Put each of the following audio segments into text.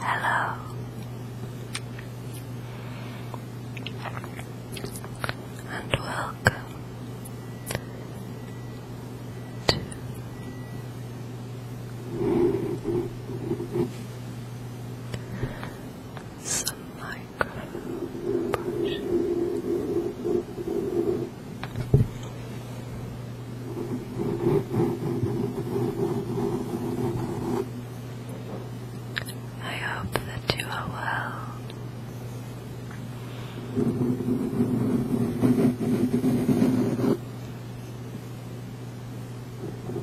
Hello. And welcome two, some micro I hope that you are well. And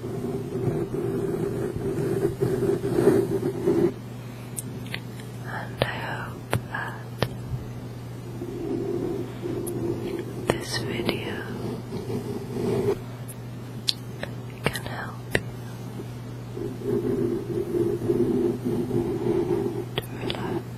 I hope that this video can help to relax.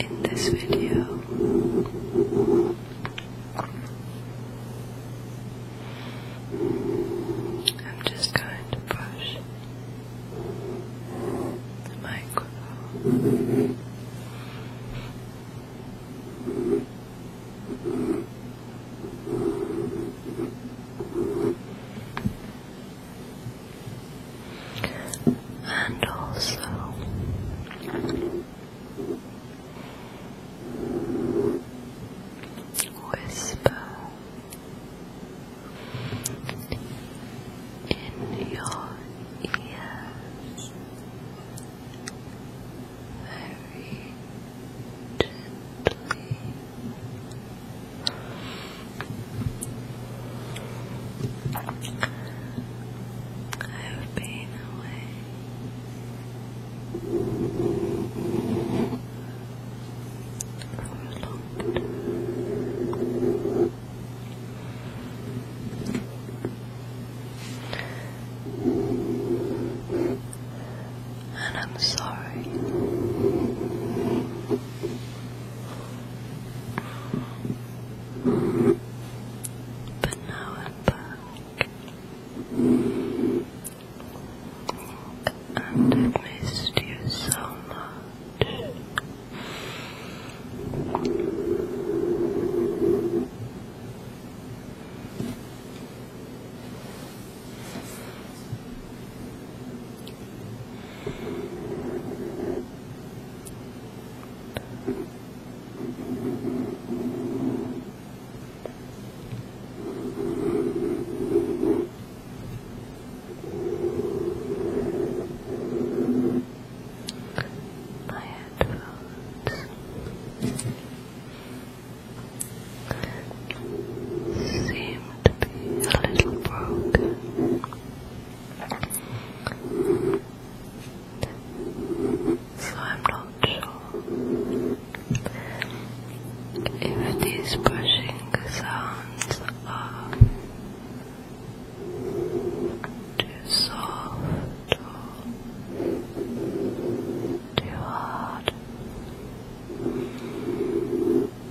in this video. I'm just going to push the microphone and also whisper in your ears very gently. I've been away for a long time. And I'm sorry. But now I'm back. And i missed you so much. My headphones seem to be a little broken. So I'm not sure if these brushing sounds are too soft or too hard.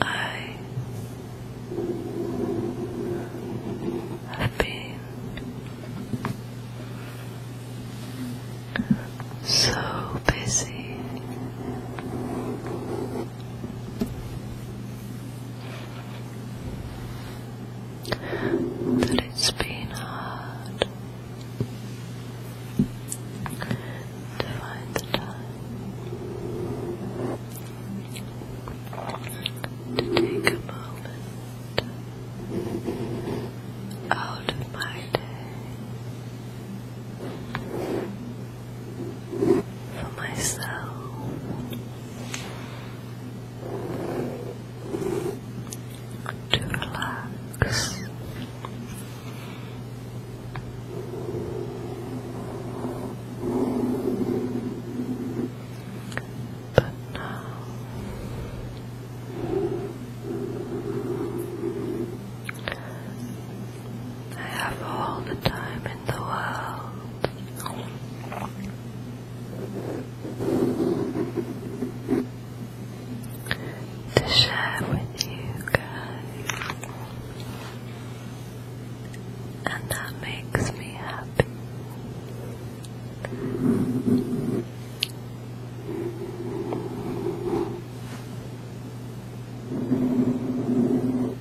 I have been so busy that it's been hard to find the time to take a moment out of my day for myself to relax. But now I have all the time the world to share with you guys, and that makes me happy.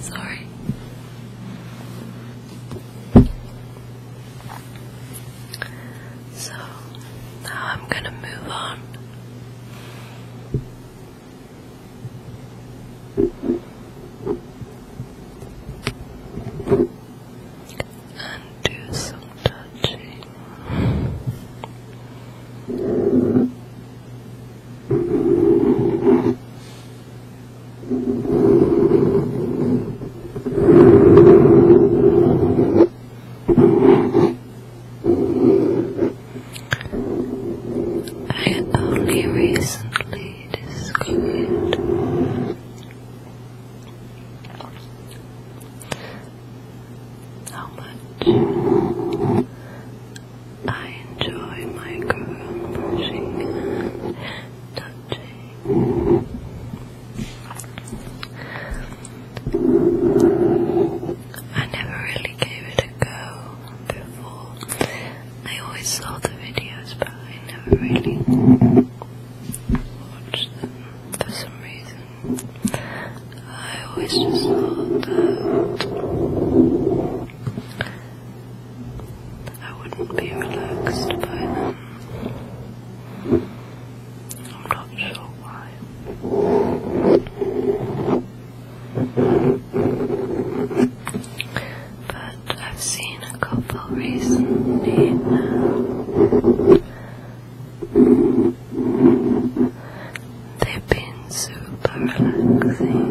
Sorry. So now I'm going to move on and do some touching. I only recently discovered how much I enjoy micro-brushing pushing, touching. I never really gave it a go before. I always saw the videos, but I never really watched them for some reason. I always just thought that I wouldn't be relaxed by them. I'm not sure why. But I've seen a couple recently now They've been super relaxing.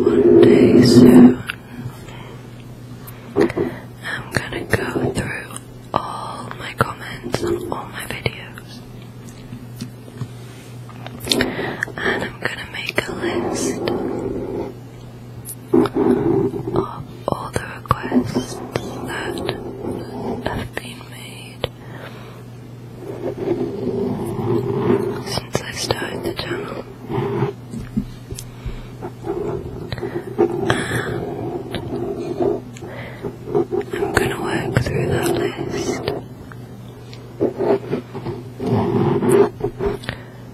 One day soon, I'm gonna go through all my comments on all my videos, and I'm gonna make a list of all the requests that have been made since I started the channel. I'm gonna work through that list.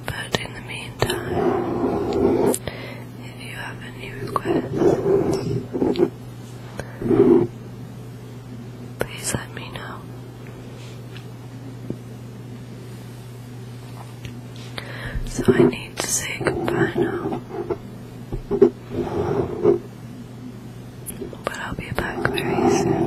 But in the meantime, if you have any requests, please let me know. So I need to say goodbye now. But I'll be back very soon.